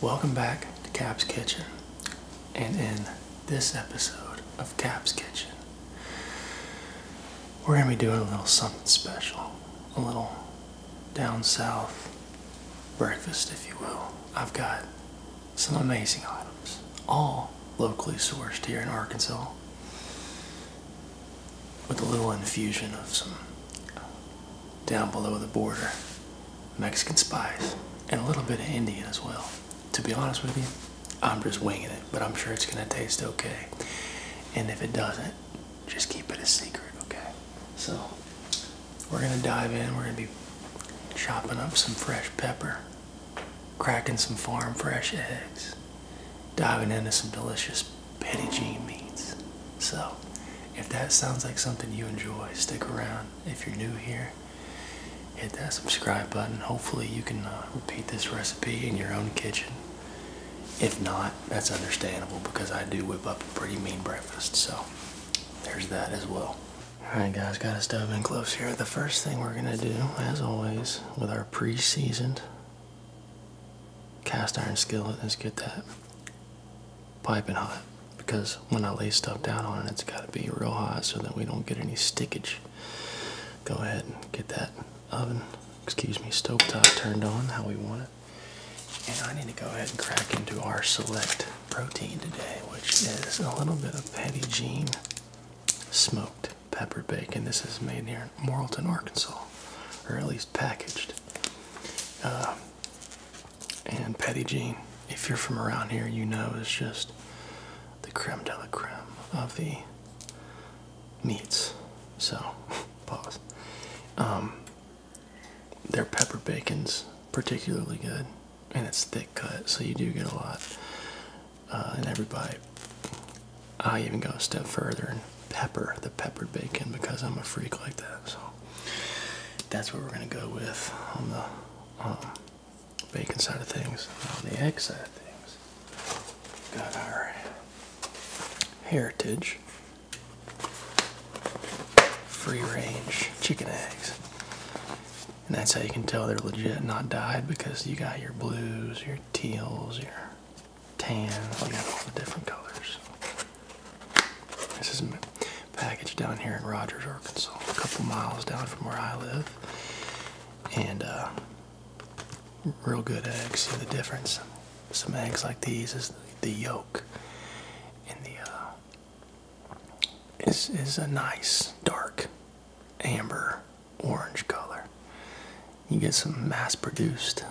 Welcome back to Cap's Kitchen. And in this episode of Cap's Kitchen, we're going to be doing a little something special. A little down south breakfast, if you will. I've got some amazing items, all locally sourced here in Arkansas, with a little infusion of some down below the border Mexican spice and a little bit of Indian as well. To be honest with you, I'm just winging it, but I'm sure it's going to taste okay. And if it doesn't, just keep it a secret, okay? So, we're going to dive in. We're going to be chopping up some fresh pepper, cracking some farm fresh eggs, diving into some delicious petty jean meats. So, if that sounds like something you enjoy, stick around. If you're new here, hit that subscribe button. Hopefully, you can uh, repeat this recipe in your own kitchen. If not, that's understandable because I do whip up a pretty mean breakfast, so there's that as well. Alright, guys, got us dove in close here. The first thing we're going to do, as always, with our pre seasoned cast iron skillet is get that piping hot because when I lay stuff down on it, it's got to be real hot so that we don't get any stickage. Go ahead and get that oven, excuse me, stove top turned on how we want it. And I need to go ahead and crack into our select protein today, which is a little bit of Patty Jean smoked pepper bacon. This is made here in Morrilton, Arkansas, or at least packaged. Uh, and Petty Jean, if you're from around here, you know is just the creme de la creme of the meats. So, pause. Um, their pepper bacon's particularly good, and it's thick cut, so you do get a lot uh, in every bite. I even go a step further and pepper the peppered bacon because I'm a freak like that. So that's what we're gonna go with on the bacon side of things. On the egg side of things, got our heritage free range chicken eggs. And that's how you can tell they're legit, not dyed, because you got your blues, your teals, your tans. you got all the different colors. This is packaged down here in Rogers, Arkansas, a couple miles down from where I live. And uh, real good eggs. See the difference? Some eggs like these is the yolk, and the uh, is is a nice dark amber orange color. You get some mass-produced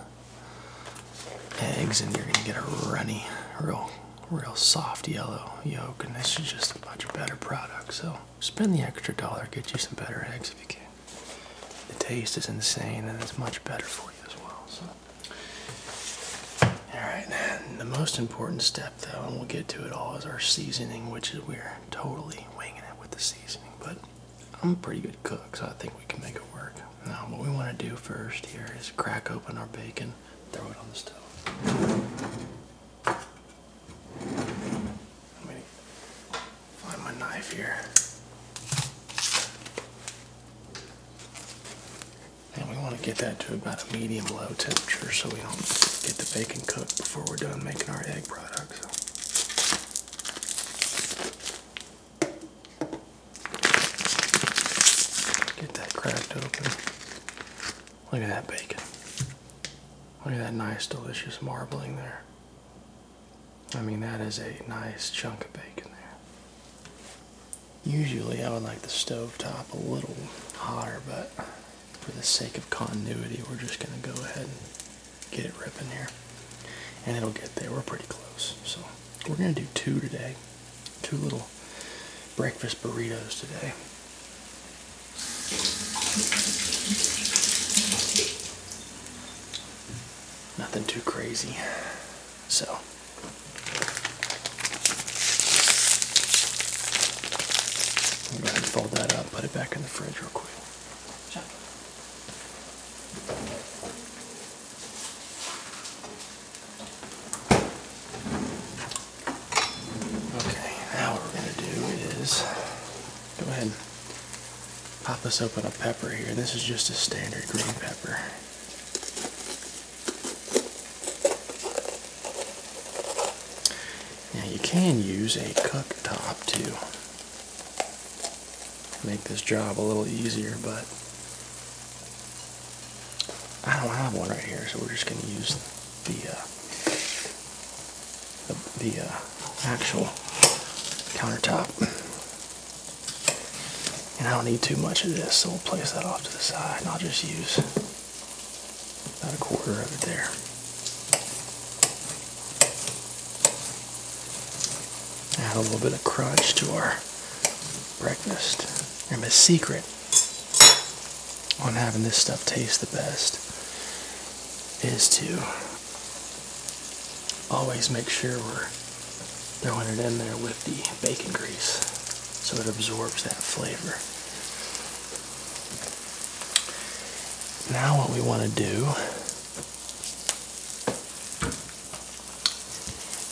eggs and you're gonna get a runny, real, real soft yellow yolk and this is just a much better product. So spend the extra dollar, get you some better eggs if you can. The taste is insane and it's much better for you as well. So. Alright, the most important step though, and we'll get to it all, is our seasoning, which is we're totally winging it with the seasoning, but I'm a pretty good cook, so I think we can make it work. Now what we want to do first here is crack open our bacon, throw it on the stove. Let me find my knife here. And we want to get that to about a medium low temperature so we don't get the bacon cooked before we're done making our egg products. Get that crack open. Look at that bacon. Look at that nice, delicious marbling there. I mean, that is a nice chunk of bacon there. Usually, I would like the stove top a little hotter, but for the sake of continuity, we're just going to go ahead and get it ripping here. And it'll get there. We're pretty close. So, we're going to do two today two little breakfast burritos today. Nothing too crazy. So. I'm going to fold that up, put it back in the fridge real quick. Check. Okay, now what we're going to do is go ahead and pop this open a pepper here. This is just a standard green pepper. Now you can use a cut top too make this job a little easier, but I don't have one right here, so we're just going to use the uh, the, uh, actual countertop. And I don't need too much of this, so we'll place that off to the side, and I'll just use about a quarter of it there. Add a little bit of crunch to our breakfast and my secret on having this stuff taste the best is to always make sure we're throwing it in there with the bacon grease so it absorbs that flavor. Now what we want to do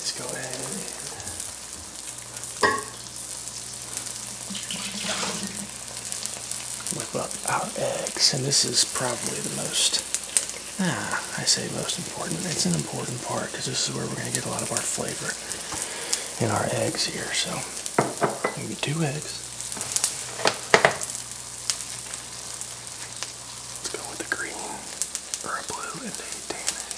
Let's go ahead and whip up our eggs. And this is probably the most, ah, I say most important. It's an important part because this is where we're going to get a lot of our flavor in our eggs here. So maybe two eggs. Let's go with a green or a blue and a Danish.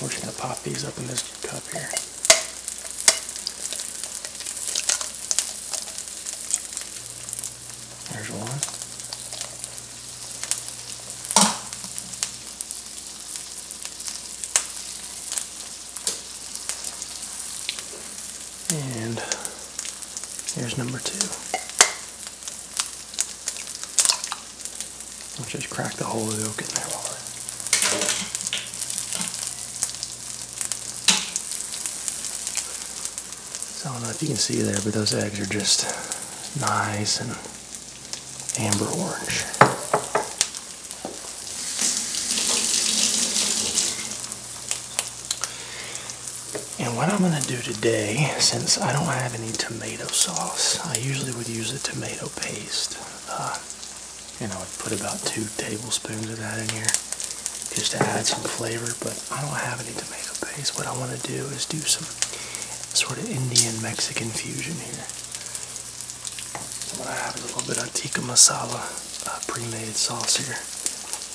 We're just gonna pop these up in this cup here. There's one. And here's number two. I'll just crack the whole of in there so I don't know if you can see there, but those eggs are just nice and amber orange. And what I'm going to do today, since I don't have any tomato sauce, I usually would use a tomato paste. Uh, and I would put about two tablespoons of that in here just to add some flavor, but I don't have any tomato paste. What I want to do is do some sort of Indian-Mexican fusion here. So what I have a little bit of tikka masala uh, pre-made sauce here.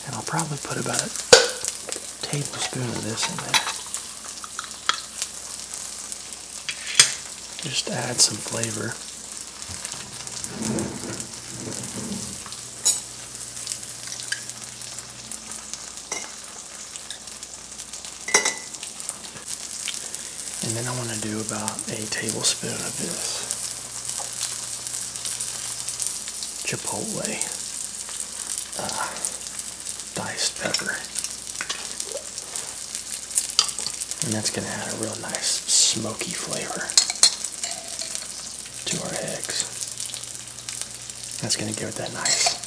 And I'll probably put about a tablespoon of this in there. Just add some flavor. And then I want to do about a tablespoon of this. Chipotle uh, diced pepper. And that's going to add a real nice smoky flavor to our eggs. That's going to give it that nice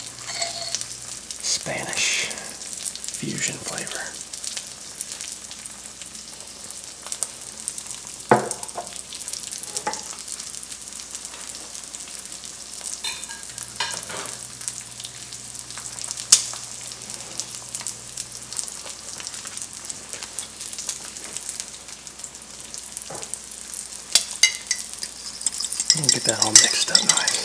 Spanish fusion flavor and get that all mixed up nice.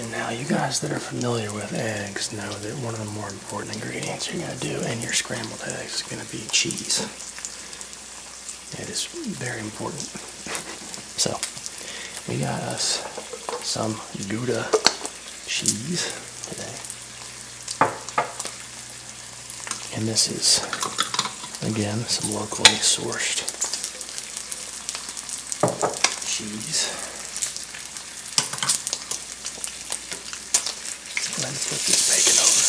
And now you guys that are familiar with eggs know that one of the more important ingredients you're going to do in your scrambled eggs is going to be cheese. It is very important. So, we got us some Gouda cheese today. And this is, again, some locally sourced cheese. Let me flip this bacon over.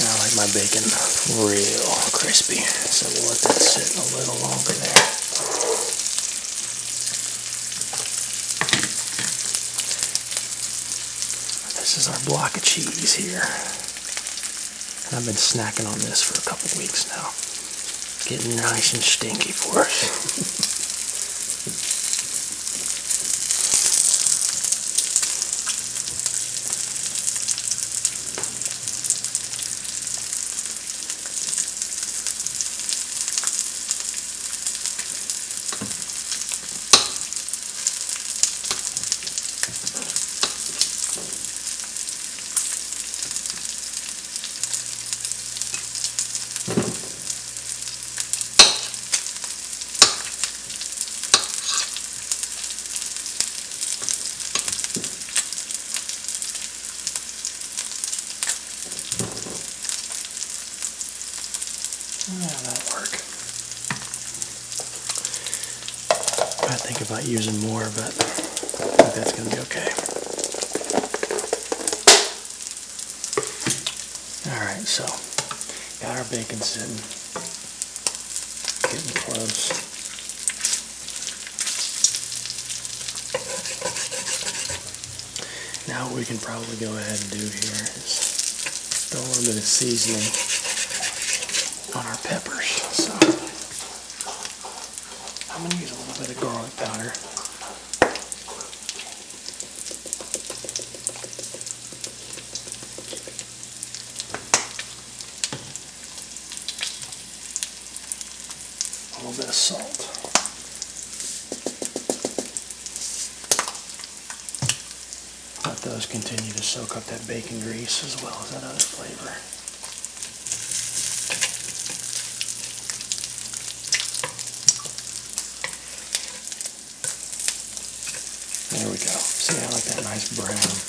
I like my bacon real crispy, so we'll let that sit a little longer there. This is our block of cheese here. And I've been snacking on this for a couple weeks now. Getting nice and stinky for us. Yeah, that'll work. I think about using more, but I think that's going to be okay. Alright, so got our bacon sitting, getting close. Now what we can probably go ahead and do here just a little bit of seasoning on our peppers. So I'm going to use a little bit of garlic powder. A little bit of salt. Let those continue to soak up that bacon grease as well as that other flavor. There we go. See, I like that nice brown.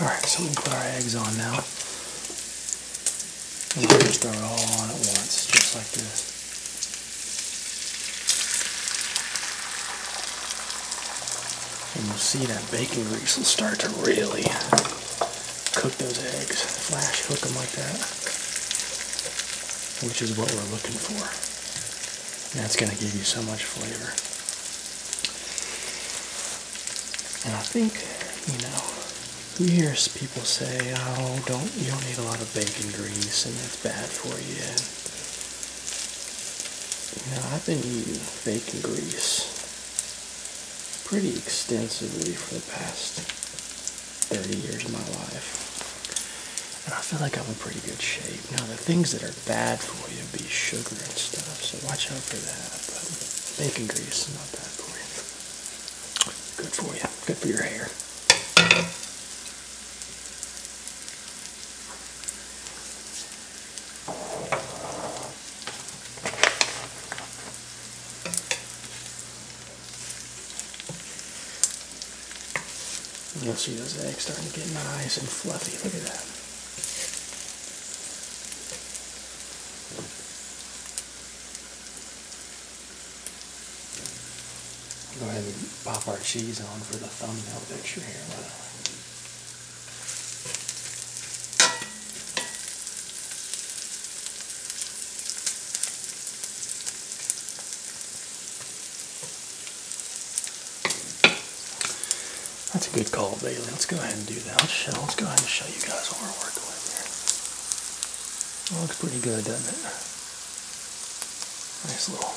All right, so we put our eggs on now. And we just throw all on at once, just like this. And you'll see that baking grease will start to really cook those eggs. Flash cook them like that, which is what we're looking for. That's going to give you so much flavor. And I think, you know, you hear people say, oh, don't, you don't need a lot of bacon grease and that's bad for you. you know, I've been using bacon grease pretty extensively for the past 30 years of my life. And I feel like I'm in pretty good shape. Now, the things that are bad for you be sugar and stuff, so watch out for that. But bacon grease is not bad for you. Good for you. Good for your hair. You'll see those eggs starting to get nice and fluffy. Look at that. Go ahead and pop our cheese on for the thumbnail picture here. That's a good call, Bailey. Let's go ahead and do that. Let's, show, go ahead and show you guys what we're working with here. looks pretty good, doesn't it? Nice little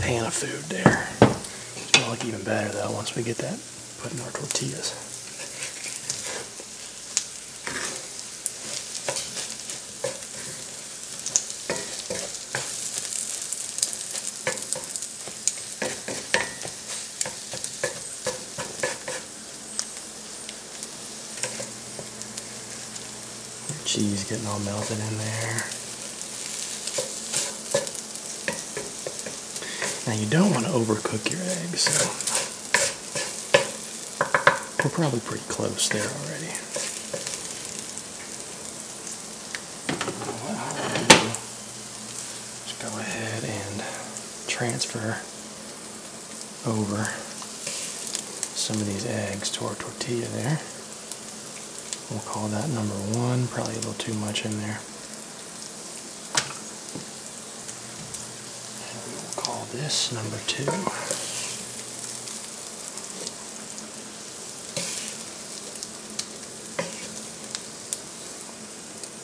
pan of food there. It's going to look even better, though, once we get that put in our tortillas cheese getting all melted in there. Now you don't want to overcook your eggs, we're probably pretty close there already. Just go ahead and transfer over some of these eggs to our tortilla there. We'll call that number one, probably a little too much in there. And we'll call this number two.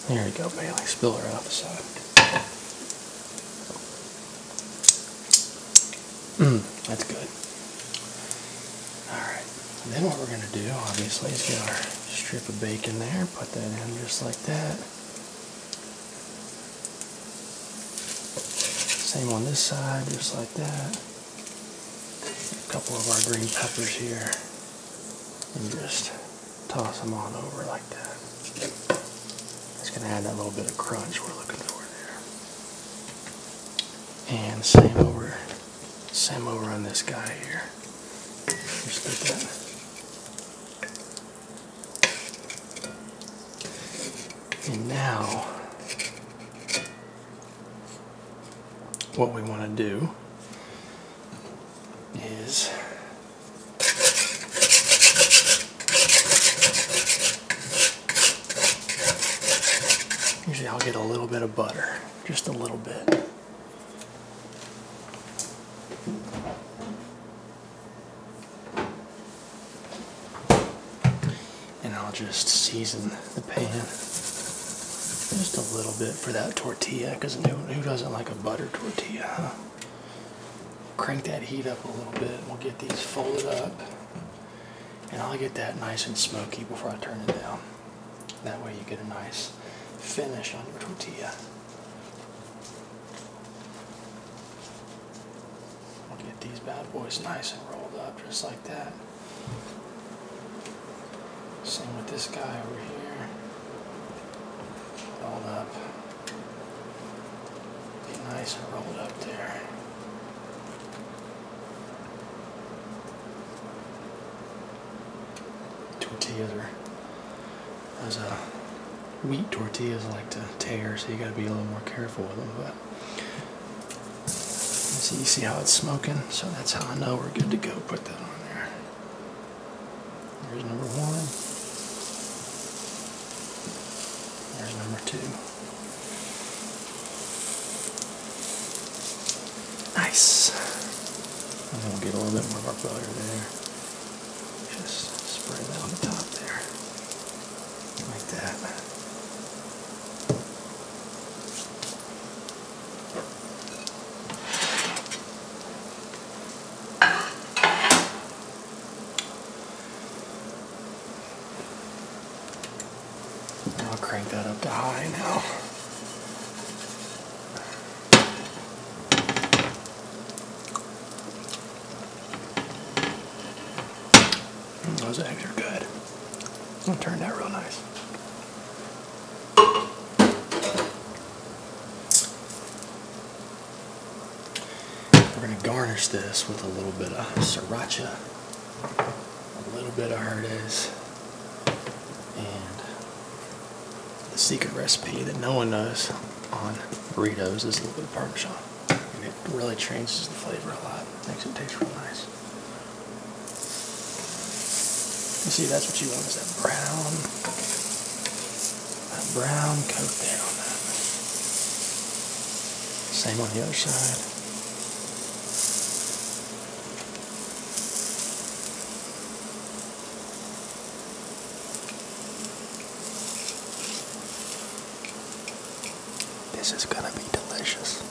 There you go, Bailey. Spill her out the side. Mmm, that's good. Alright, then what we're going to do, obviously, is get our strip of bacon there, put that in just like that. Same on this side, just like that. A couple of our green peppers here. And just toss them on over like that. It's going to add that little bit of crunch we're looking for there. And same over, same over on this guy here. Just like that. And now, what we want to do is usually I'll get a little bit of butter, just a little bit. And I'll just season the pan just a little bit for that tortilla because who doesn't like a butter tortilla, huh? Crank that heat up a little bit. We'll get these folded up. And I'll get that nice and smoky before I turn it down. That way you get a nice finish on your tortilla. We'll get these bad boys nice and rolled up just like that. Same with this guy over here. Rolled up. Be nice and rolled up there. Tortillas are as a wheat tortillas like to tear, so you got to be a little more careful with them. But see, you see how it's smoking, so that's how I know we're good to go. Put that on there. There's number one. There's number two. Nice. And then we'll get a little bit more of our butter there. Just spray that on the top there. Like that. I'll crank that up to high now. Those eggs are good. It turned out real nice. We're going to garnish this with a little bit of sriracha, a little bit of Herdes, and the secret recipe that no one knows on burritos is a little bit of Parmesan and it really changes the flavor a lot. Makes it taste real nice. You see, that's what you want is that brown, that brown coat there on that. Same on the other side. This is gonna be delicious.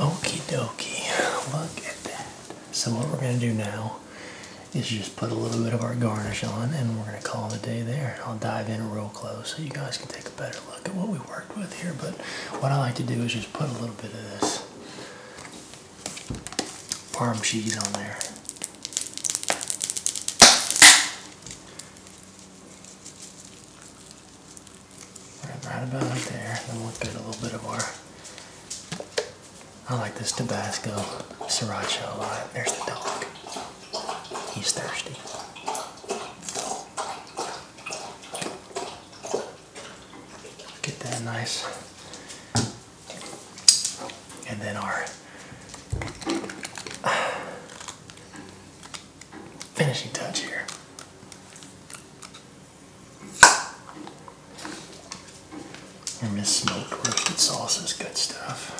Okie dokie, look at that. So what we're gonna do now is just put a little bit of our garnish on and we're gonna call the day there. I'll dive in real close so you guys can take a better look at what we worked with here. But what I like to do is just put a little bit of this Parm cheese on there. Right about there. Then we'll put a little bit of our. I like this Tabasco Sriracha a There's the dog. He's thirsty. Get that nice. And then our finishing touch here. And Miss smoked roasted sauce is good stuff.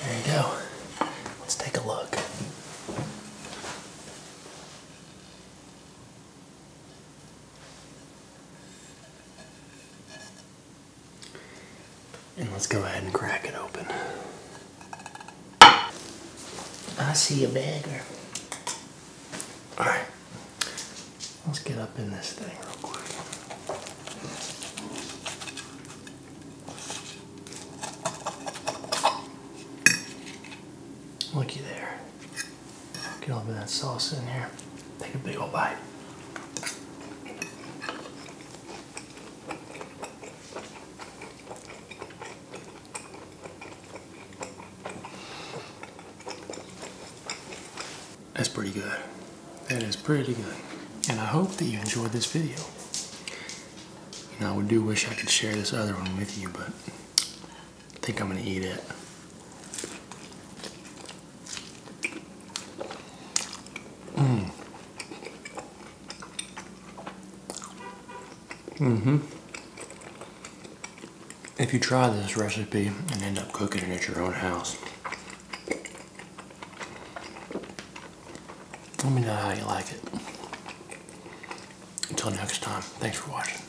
There you go. Let's take a look. And let's go ahead and crack it open. I see a bagger. Alright. Let's get up in this thing real quick. Looky there. Get all of that sauce in here. Take a big old bite. That's pretty good. That is pretty good. And I hope that you enjoyed this video. You I do wish I could share this other one with you, but I think I'm gonna eat it. Mm. Mm-hmm. If you try this recipe and end up cooking it at your own house, let me know how you like it. Until next time, thanks for watching.